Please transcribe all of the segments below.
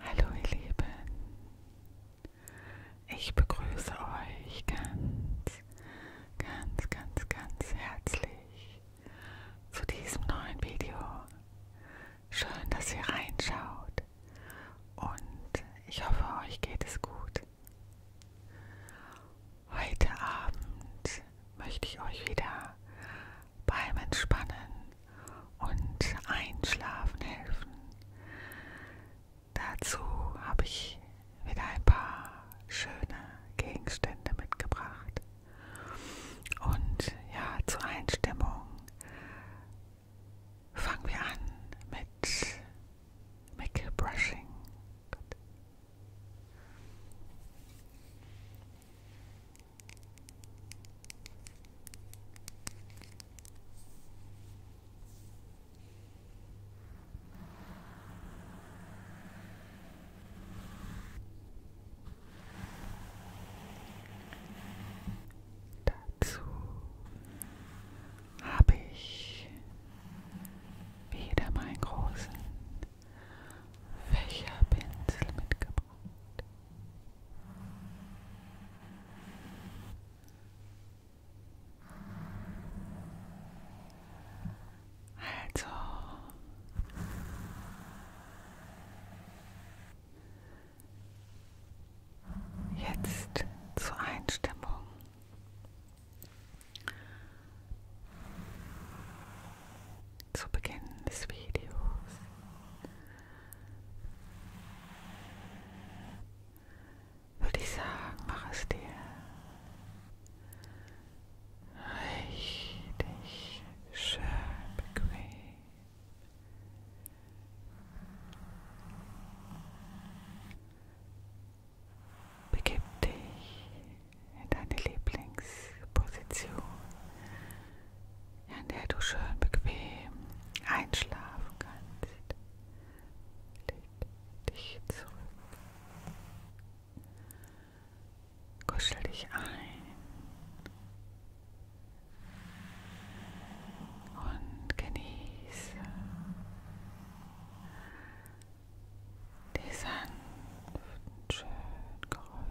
Hallo ihr Lieben, ich begrüße euch ganz, ganz, ganz, ganz herzlich zu diesem neuen Video. Schön, dass ihr reinschaut und ich hoffe, euch geht es gut. Heute Abend möchte ich euch wieder beim Entspannen und Einschlafen helfen. Dazu habe ich wieder ein paar schöne Gegenstände mitgebracht. Und ja, zur Einstimmung fangen wir an mit Mickey Brushing. Dazu habe ich wieder meinen großen Fächerpinsel mitgebracht. Mond. Also jetzt zur Einstimmung zu Beginn des Videos. Würde ich sagen, mach es dir richtig schön bequem. Begib dich in deine Lieblingsposition in der du schön bequem einschlafen kannst. Leg dich zurück. Kuschel dich ein. Und genieße die sanften, schönen Geräusche.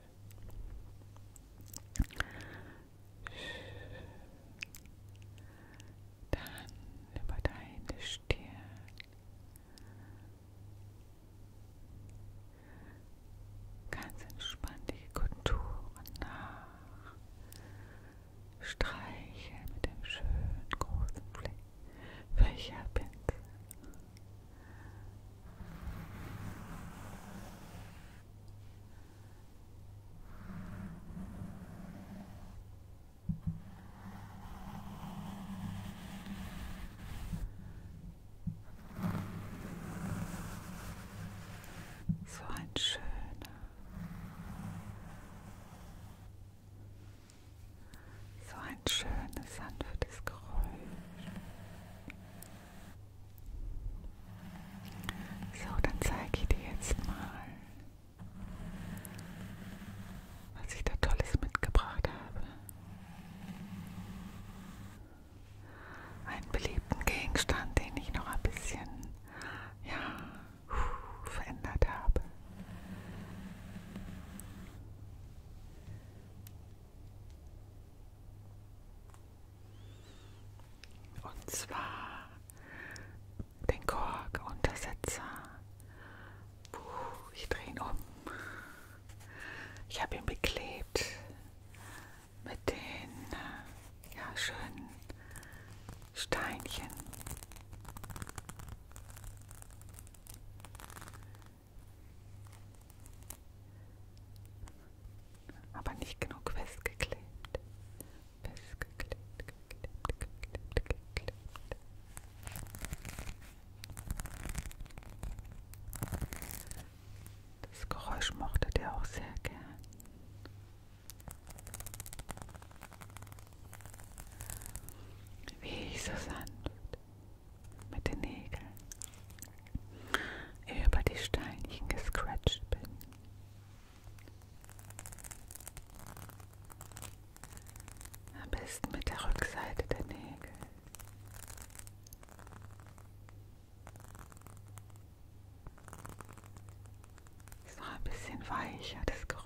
Dann über deine Stirn. Ganz entspannt die Konturen nach. Streiche mit dem schönen großen Fächerpinsel. So ein schöner, so ein schönes, sanftes Geräusch. So, dann zeige ich dir jetzt mal, was ich da Tolles mitgebracht habe. Einen beliebten Gegenstand, den ich noch ein bisschen ja, verändert habe. Und zwar den Kork-Untersetzer. Ich drehe ihn um. Ich habe ihn beklebt mit den ja, schönen Steinchen. Aber nicht genug festgeklebt. Festgeklebt, geklebt, geklebt, geklebt. Das Geräusch mochte der auch sehr gern. Wie so sanft, mit den Nägeln über die Steinchen gescratcht bin. Am besten mit der Rückseite der Nägel. Ist noch ein bisschen weicher, das Geräusch.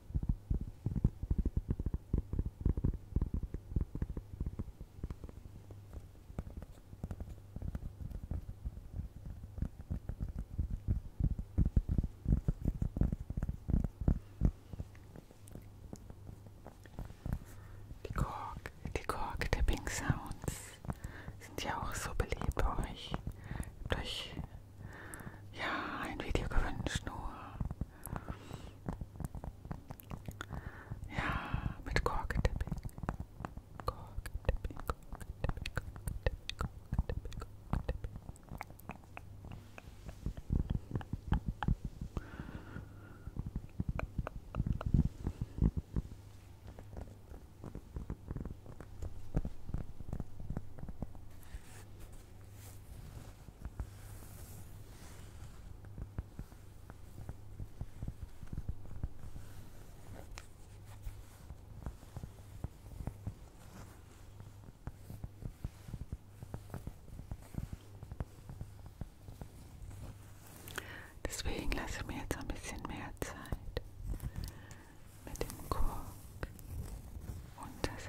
Die Kork, die Kork-Tapping-Sounds sind ja auch so beliebt bei euch. Habt euch ja, ein Video gewünscht nur. Ja, mit Korkentipping. Korkentipping, Korkentipping, Korkentipping, Korkentipping, Korkentipping. Deswegen lasse ich mir jetzt ein bisschen mehr Zeit mit dem Kork und das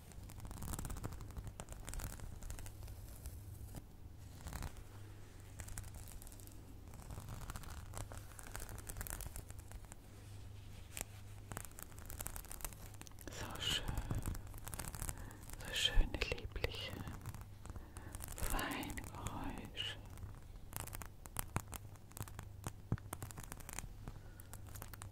So schön, so schöne, liebliche, feine Geräusche.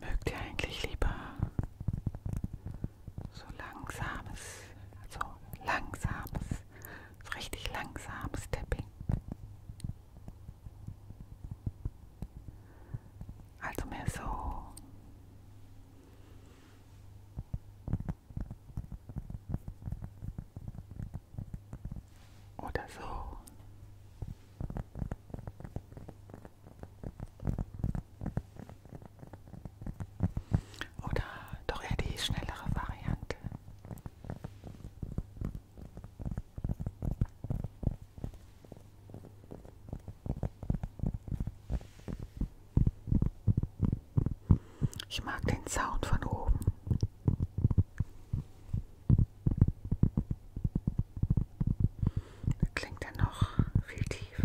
Mögt ihr eigentlich lieber so langsames, also langsames, so richtig langsames Tapping? Also mehr so oder so. Oder doch eher die schnellere Variante. Ich mag den Sound von oben. Da klingt er noch viel tiefer.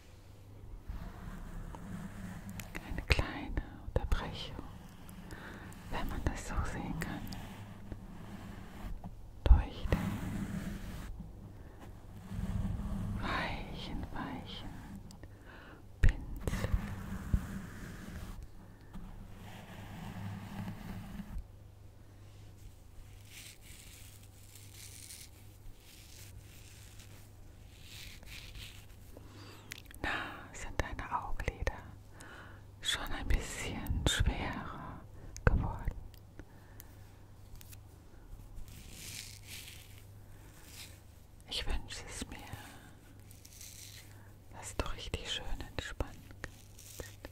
Eine kleine Unterbrechung, wenn man das so sehen kann, durch den weichen, weichen Pinsel. Na, sind deine Augenlider schon ein bisschen schwerer geworden? Ich wünsche es mir, dass du richtig schön entspannen kannst.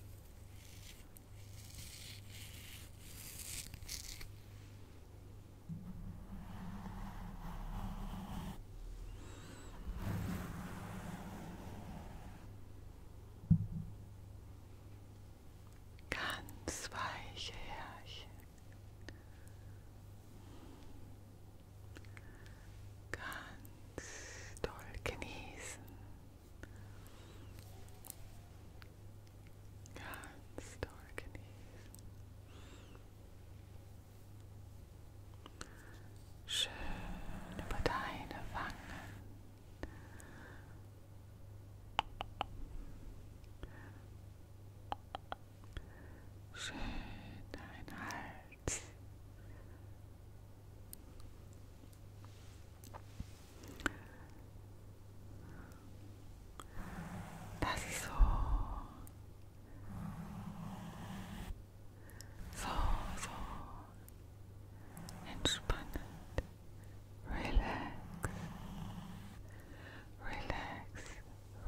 Ganz weiche Härchen. Ganz toll genießen. Ganz toll genießen schön über deine Wangen. Schön dein Hals. That's ist so. So, so. Entspannend. Relax. Relax.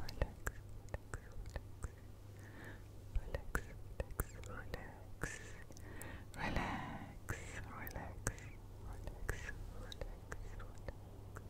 Relax. Relax. Relax. Relax. Relax. Relax. Relax. Relax. Relax.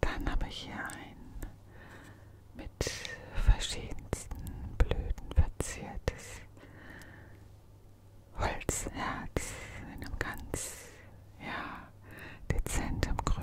Dann habe ich hier ein mit verschiedensten Blüten verziertes Holzherz in einem ganz, ja, dezentem Grün.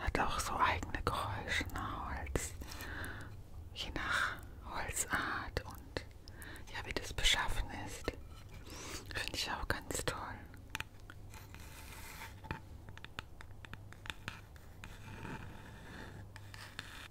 Hat auch so eigene Geräusche, ne? Holz, je nach Holzart und ja, wie das beschaffen ist. Finde ich auch ganz toll.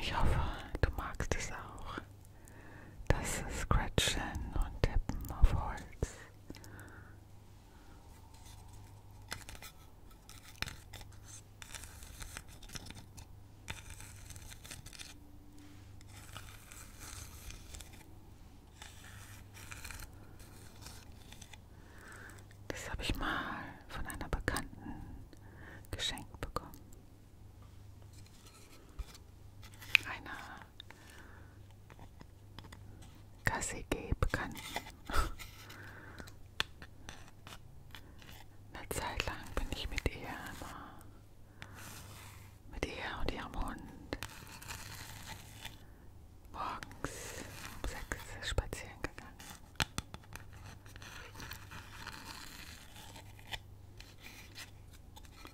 Ich hoffe, du magst es auch. Das Scratchen und Tippen auf Holz. Das habe ich mal von einer Bekannten geschenkt bekommen. Einer KCG-Bekannten. Eine Zeit lang bin ich mit ihr immer, mit ihr und ihrem Hund, morgens um sechs spazieren gegangen.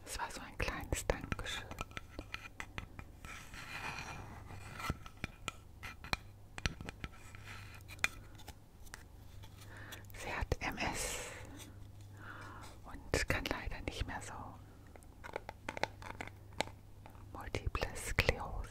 Es war so ein kleines Dankeschön. Sie hat MS und kann leider nicht mehr so. Multiple Sklerose.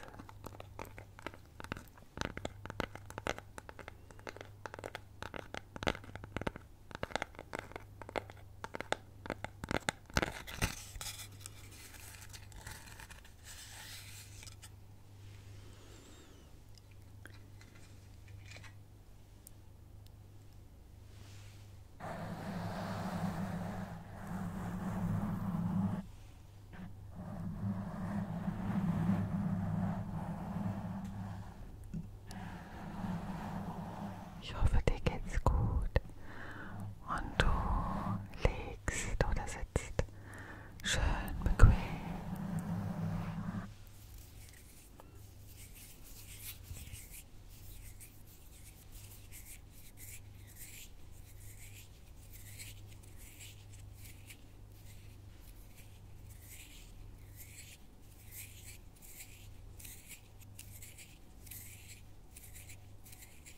Ich hoffe, dir geht's gut und du lebst liegst oder sitzt. Schön bequem.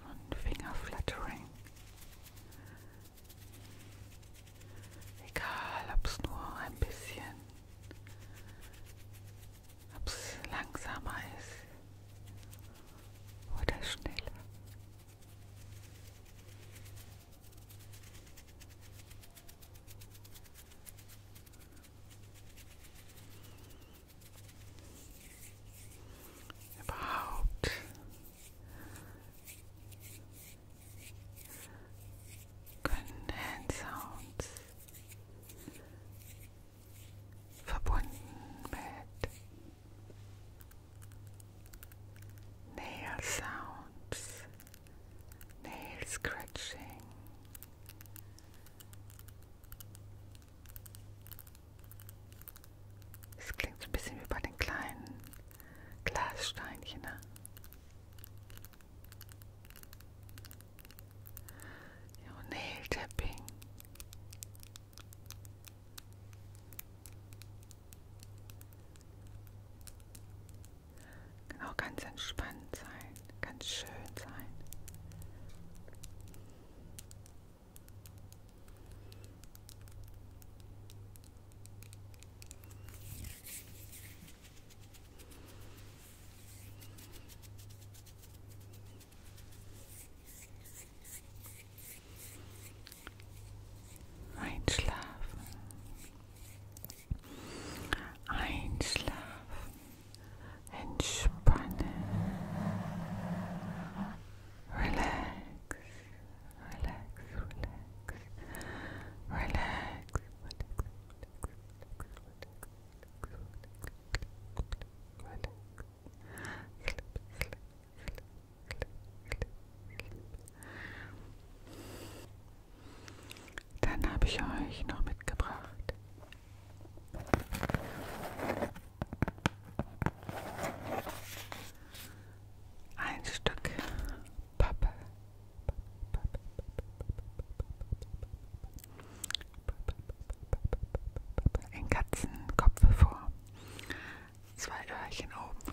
So ein Fingerflattering. Egal, ob es nur ein bisschen, ob es langsamer ist oder schneller. about können Hand Sounds verbunden mit Nail Sounds, Nail Scratching. Das klingt so ein bisschen wie bei den kleinen Glassteinchen. Ne? Ja, Nail Tapping. Genau, ganz entspannt sein, ganz schön sein. Einschlafen. Einschlafen. Entspanne. Relax. Relax, relax. Relax. Dann habe ich euch noch mitgebracht ein Stück Pappe. Ein Katzenkopf vor. Zwei Öhrchen oben.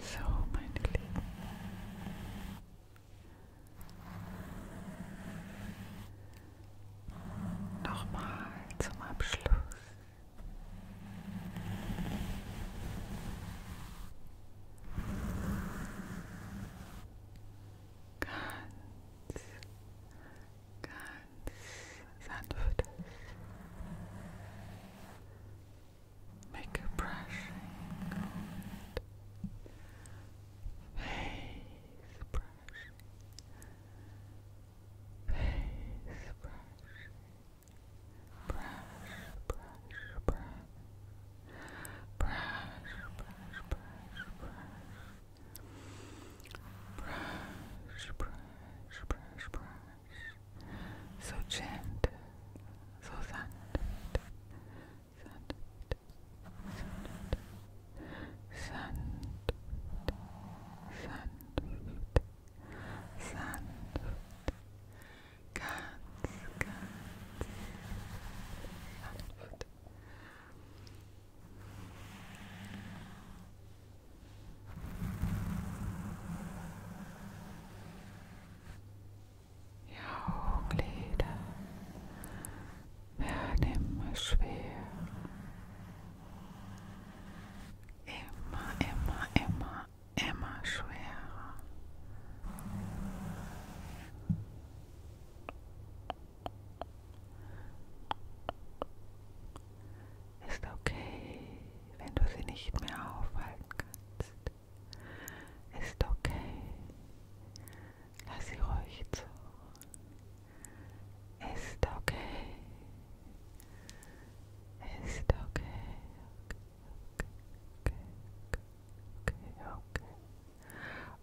So, meine Lieben. Nochmal zum Abschluss. ganz, make a brushing face brushing face brushing brush, brush, brush brush, brush, brush, brush, brush, brush, brush, brush. So gentle, so sand, sand, sand, sand, sand, sand, cats, cats, sand. Zeit. Die Augenlider werden immer schwerer. Immer, immer, immer, immer schwerer. Ist okay, wenn du sie nicht mehr aufhalten kannst. Ist okay. Lass sie ruhig zu. Ist okay. Ist okay. Okay, okay, okay, okay, okay,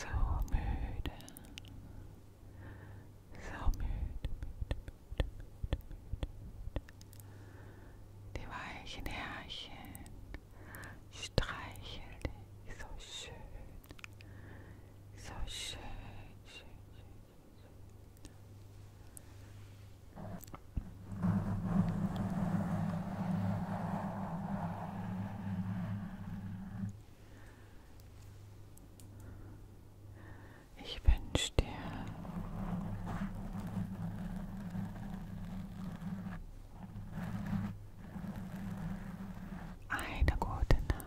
So müde. So müde, müde, müde, müde, müde. Die weichen Härchen streicheln dich so schön. So schön, schön, schön, schön. Ich wünsche dir eine gute Nacht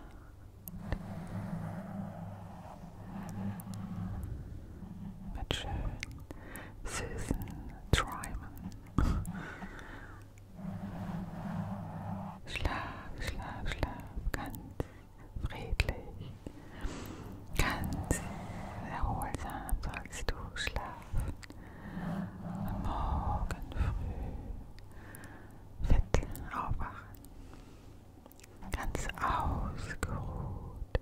mit schönen Susan Tryman. Schlaf, schlaf, schlaf, ganz friedlich, ganz erholsam sollst du schlafen. Am Morgen früh fit aufwachen, ganz ausgeruht,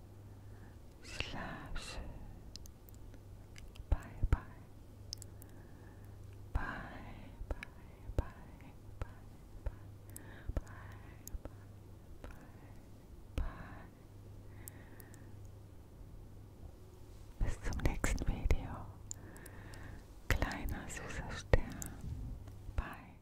Schlaf schön. Bye, bye. Bye, bye, bye, bye, bye, bye, bye, bye, bye. Bis zum nächsten Video. Kleiner süßer Stern. Bye.